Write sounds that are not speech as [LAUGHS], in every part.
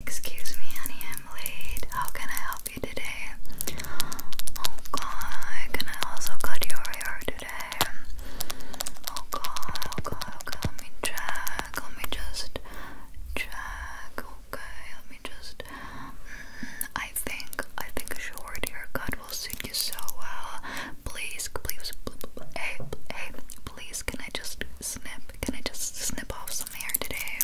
Excuse me, honey, I'm late. How can I help you today? Oh god, can I also cut your hair today? Oh god, oh god, okay, oh, let me check. Let me just check. Okay, let me just. Mm, I think, I think a short haircut will suit you so well. Please, please, hey, hey, please, can I just snip? Can I just snip off some hair today?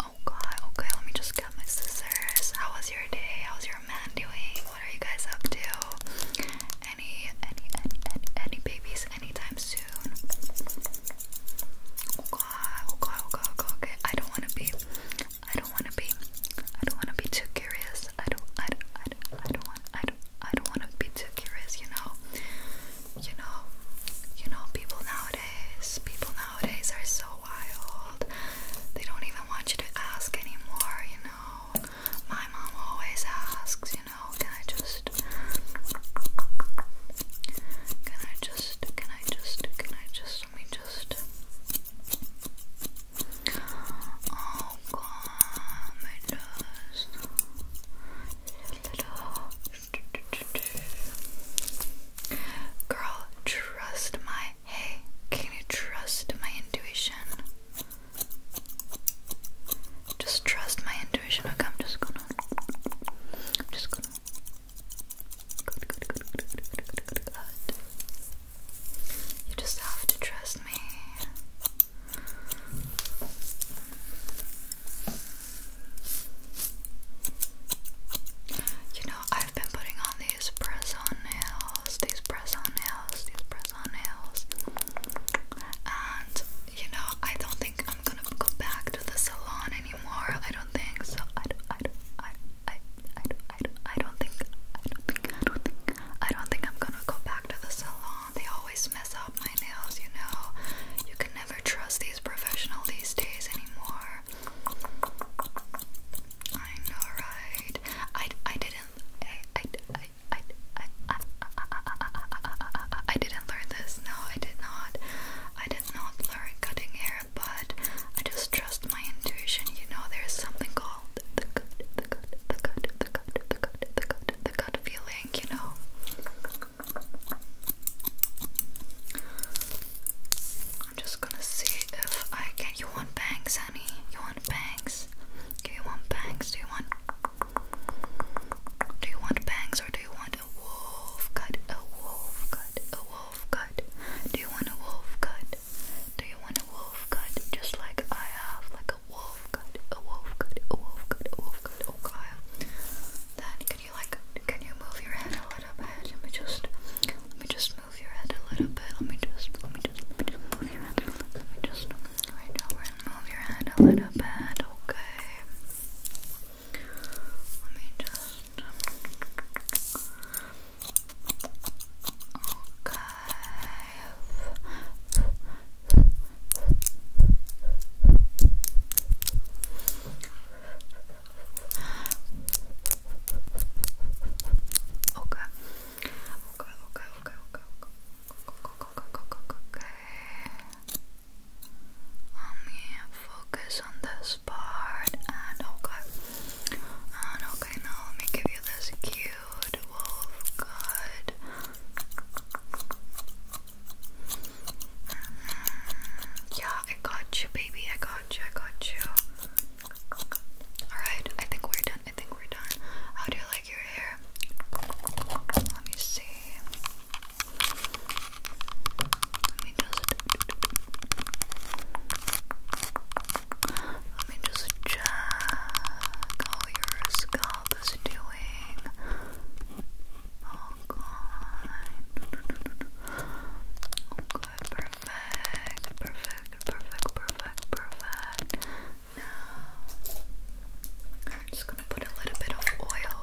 Oh god, okay, let me just get my scissors. How was your day? How's your man doing? What are you guys up to? Any, any, any, any, babies anytime soon? Oh, oh god, oh god, oh god, okay. I don't wanna be, I don't wanna be, I don't wanna be too curious. I don't, I don't, I don't, I don't want, I don't, I don't wanna be too curious, you know? you know, you know, people nowadays, people nowadays are so wild. They don't even want you to ask anymore, you know. My mom always asks, you know, can I just can I just can I just can I just let me just Oh god, my nose. [LAUGHS] girl, trust my hey, can you trust my intuition? Just trust my intuition. Okay, just gonna just gonna You just have to trust me. You know, I've been putting on these press on nails, these press on nails, these press on nails. And, you know, I don't think I'm gonna go back to the salon anymore. I don't think so. I don't, I don't, I, I, don't, I, don't, I don't think, I don't think, I don't think, I don't think I'm gonna go back to the salon salon, they always mess up my nails, you know. You can never trust these professional these days anymore. I know, right? I I didn't I I I I I I, I, I didn't learn this. No, I did not. I did not learn cutting hair, but I just trust my intuition. You know, there's something called the gut, the gut, the gut, the gut, the gut, the gut, the gut feeling you know. I'm just gonna see if I can. You want bangs, honey? You want bangs? Do you want bangs? Do you want. Do you want bangs or do you want a wolf cut? A wolf cut? A wolf cut? Do you want a wolf cut? Do you want a wolf cut? Just like I have, like a a wolf cut, a wolf cut, a wolf cut, a wolf cut, oh Then can you like can you move your head a little bit? Let me just let me just move your head a little bit. Let me just let me just let me just move your head. Let me just right over and move your head a little bit, okay. Let me just Okay. Okay. Okay, okay, okay, okay, okay. Okay. Let me focus on this part and okay. And okay, now let me give you this cute good wolf, good. Mm, yeah, I got you, baby. I got you. I got you. Alright, I think we're done. I think we're done. How do you like your hair? Let me see. Let me just. Let me just check. Oh, your scalp is doing all oh, good. Okay, perfect, perfect, perfect, perfect, perfect. Now, I'm just gonna put a little bit of oil,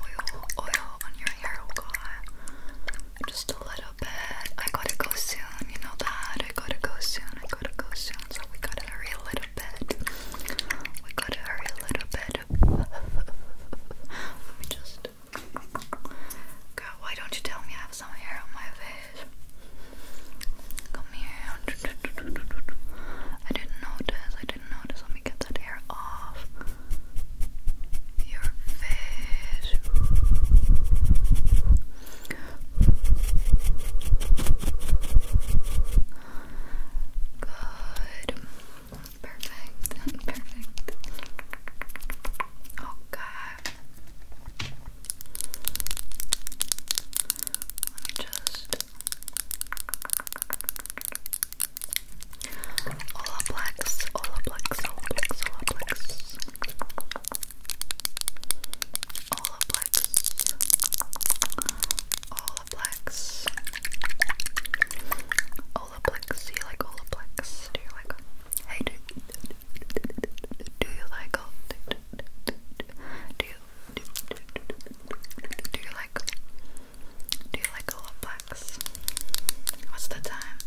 oil, oil on your hair, okay? Oh, just a little bit. I gotta go soon, you know that. I gotta go soon, I gotta go soon, so we gotta hurry a little we gotta hurry a little bit. [LAUGHS] Let me just. Girl, why don't you tell me I have some hair on my face? Come here. I didn't notice. I didn't notice. Let me get that hair off your face. Good. Perfect. [LAUGHS] Perfect. Okay. Oh, Let me just Olaplex, Olaplex, Olaplex, Olaplex Olaplex, Olaplex. Olaplex. Do you like Olaplex? Do you like Hey, do, do you like do, do, do, do, you like do you like Olaplex? What's the time?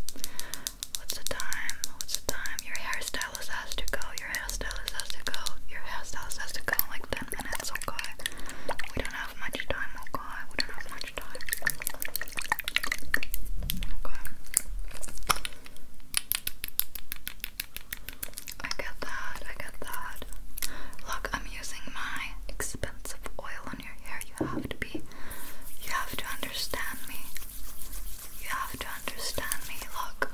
What's the time? What's the time? Your hair's done hairstylist has to go. Your hairstylist has to go. Your hairstylist has to go like 10 minutes, okay? We don't have much time, okay? We don't have much time. Okay. I get that, I get that. Look, I'm using my expensive oil on your hair. You have to be, you have to understand me. You have to understand me. Look,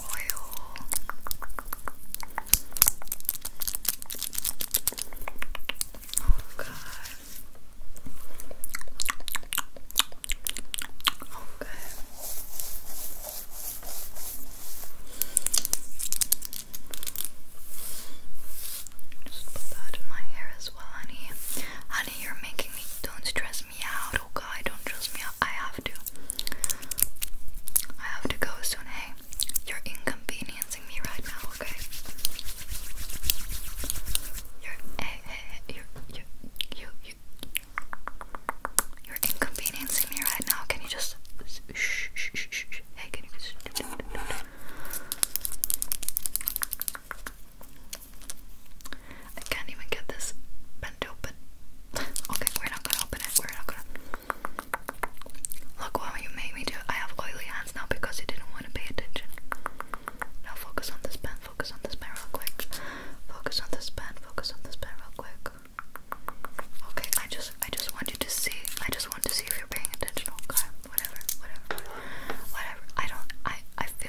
oil. Oh god. Okay. Just put that in my hair as well, honey. Honey, you're making me. Don't stress me out, okay? Oh don't stress me I have to. I have to go soon, hey? You're inconveniencing me right now, okay? hey, eh, eh, hey, eh, you you, you, you, you're inconveniencing me right now. Can you just, shh, shh, shh, shh, hey, can you just, I can't even get this bent open. [LAUGHS] okay, we're not gonna open it. We're not gonna. Look what you made me do. I have oily hands now because you didn't want to pay attention. Now focus on this pen. Focus on this pen real quick. Focus on this pen. Focus on this pen real quick. Okay, I just, I just want you to see. I just want to see if you're paying attention. Okay, whatever, whatever, whatever. I don't. I, I feel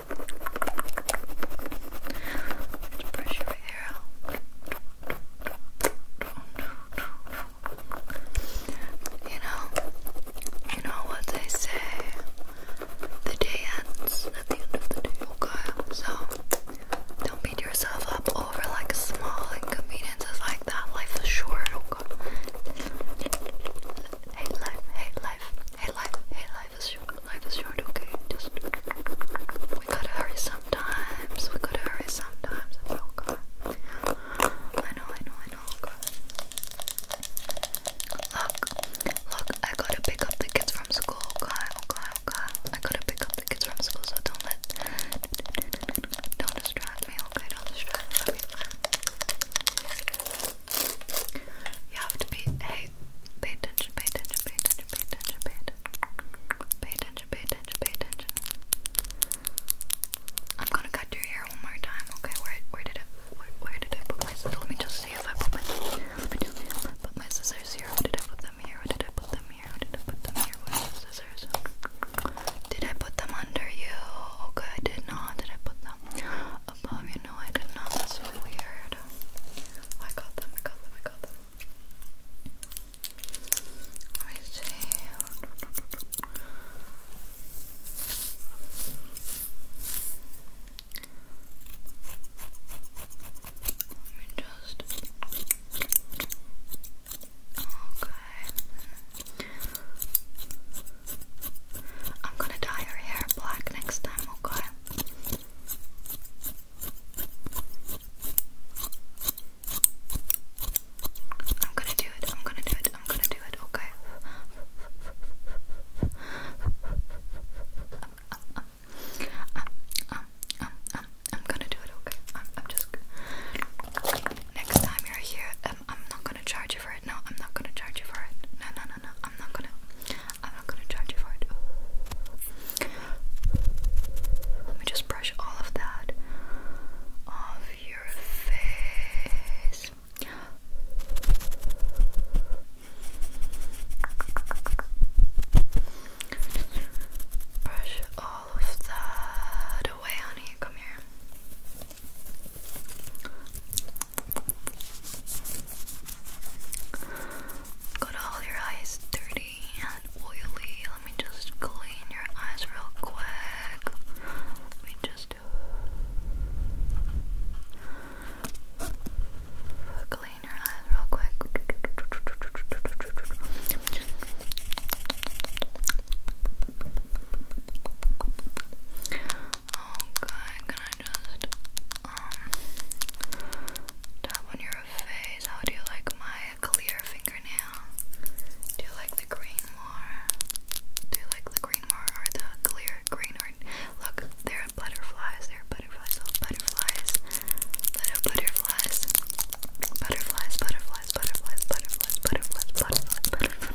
Let's your hair out. You know, you know what they say. The day ends at the end of the day. Okay, so don't beat yourself up over like small inconveniences like that. Life is short. Okay. Hate life. Hate life. Hey life, hey life is short, life is short, okay? Just we gotta hurry sometimes, we gotta hurry sometimes. Oh god. I know, I know, I know, oh god. Look, look, I gotta pick up the kids from school, okay, okay, okay. I gotta pick up the kids from school, so don't let don't distract me, okay, don't distract me. You have to be hey, pay attention, pay attention, pay attention, pay attention, pay attention. Pay attention, pay attention, I'm gonna cut your hair one more time, okay? Where where did it where, where did I put my scissors? Let me just see if I put my scissors here. Where did I put them here? Where did I put them here? Where did I put them here? Where are the scissors? Did I put them under you? Okay, I did not. Did I put them above you? No, I did not. That's weird. I got them, I got them, I got them. Okay. I'm gonna dye her hair black next time, okay? I'm gonna do it, I'm gonna do it, I'm gonna do it, okay. I'm gonna do it, okay. I'm, just. Next time you're here, um, I'm not gonna charge you for it. No, I'm not gonna charge you for it. No, No, no, I'm not gonna. I'm not gonna charge you for it. Let me just brush all of that off your face. Brush all of that away, honey. Come here. Got all your eyes dirty and oily. Let me just clean your eyes real quick. Let me just clean your eyes real quick. Okay, oh, can I just um tap on your face? How do you like my clear fingernail? Do you like the green more? Do you like the green more or the clear green or look, there are butterflies, there are butterflies, oh, butterflies, butterflies, butterflies, butterflies, butterflies, butterflies.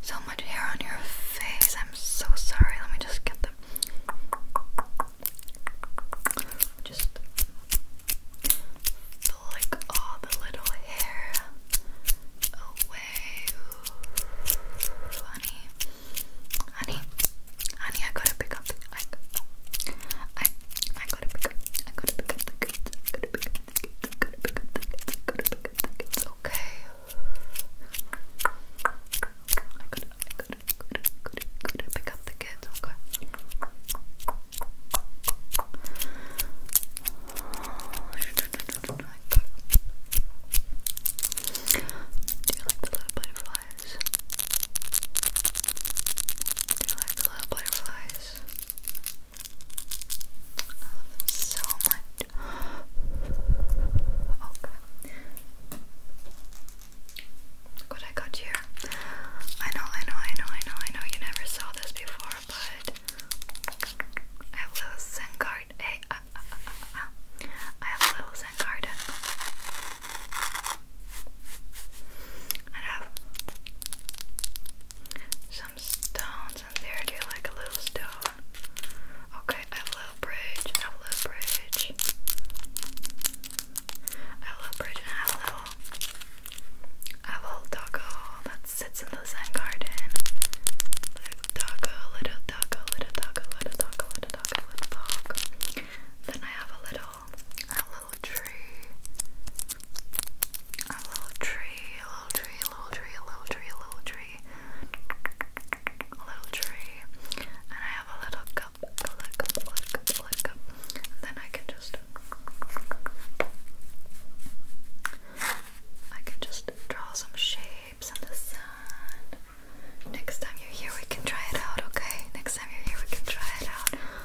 So much hair on your face. I'm so sorry. Let me just get the. Just flick all the little hair away. honey, honey, honey, I gotta pick up. I, gotta pick up. I gotta pick up it's okay. Do you like the little butterflies? Do you like the little butterflies? I love them so much. Oh what I got here. I know, I know, I know, I know, I know you never saw this before, but I have little Zen garden. Hey, uh, uh, uh, I have little Zen garden. I have some stones in there. Do you like a little stone? Okay, I have a little bridge. I have a little bridge. I have a little bridge and I have a little. I have a little taco that sits in the Zen garden. Little taco, little taco, little taco, little taco, little taco, little taco. Then I have a little. I have a a little tree, a little tree, a little tree, a little tree, a little tree. A little tree. And I have a little cup, a little cup, a little cup, a little cup. then I can just I can just draw some shapes in the sun. Next time you're here we can try it out, okay? Next time you're here we can try it out.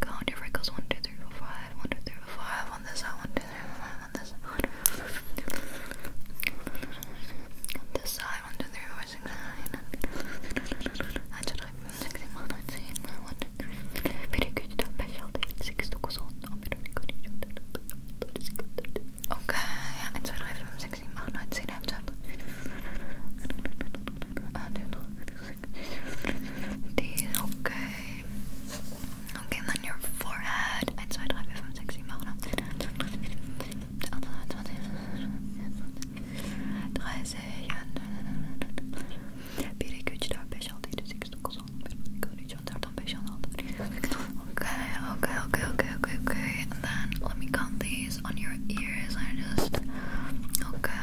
Count your freckles. One, two, three, four, five. One, two, three, four, five. On this side. One, two, three, four, five. On this side. One, two, three, on this side. One, two, three, four, six, nine. I just like six, one, nine, eight, nine, one, two, three. Very good. Don't be shy. Six, two, goes on. I'm very good. Okay, eins, zwei, drei, fünf, sechs, sieben, acht, neun, zehn, elf, zwölf. Ah, these, okay okay, and then your forehead eins, zwei, drei, vier, fünf, sechs, sieben, acht, neun, Okay, okay, okay, okay, okay, okay. And then let me count these on your ears. I just okay,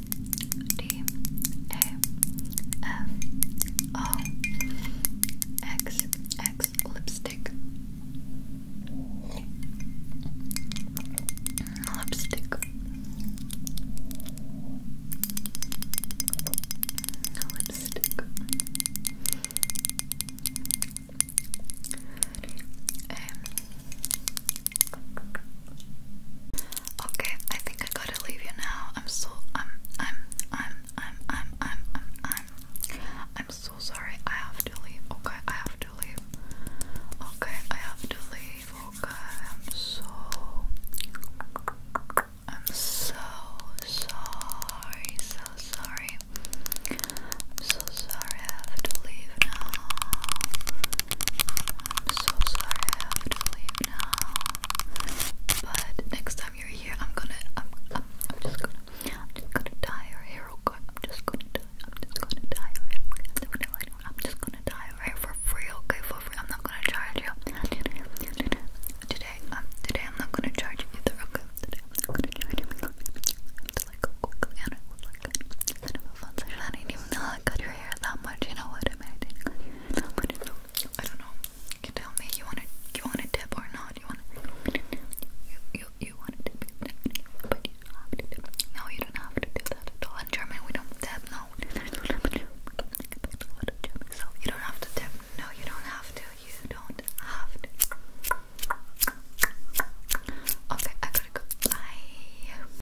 D A F O X X lipstick lipstick lipstick a um, Okay, I think I gotta leave you now. I'm so I'm I'm I'm I'm I'm I'm I'm I'm so sorry. I have to leave. Okay, I have to leave. Okay, I have to leave. Okay, I'm so I'm so sorry, so sorry. so sorry I have to leave now. I'm so sorry I have to leave now. But next time you're here, I'm gonna, I'm, I'm, I'm just gonna, I'm just gonna dye your hair. Okay, I'm just gonna dye, I'm just gonna dye your hair. I'm just gonna dye your hair for free. Okay, for free. I'm not gonna charge you. Today, um, today I'm not gonna charge you either. Okay, today I'm not gonna charge you. It's like a quick and it was like kind of a fun session. I didn't even know I got your that much, you know what? I mean, I don't know. You can tell me. You want to? You want a tip or not? You want to? You you you want to tip? But you don't have to tip. No, you don't have to do that at all. In German, we don't tip. No. you don't have to tip. No, you don't have to. You don't have to. Okay, I gotta go. Bye.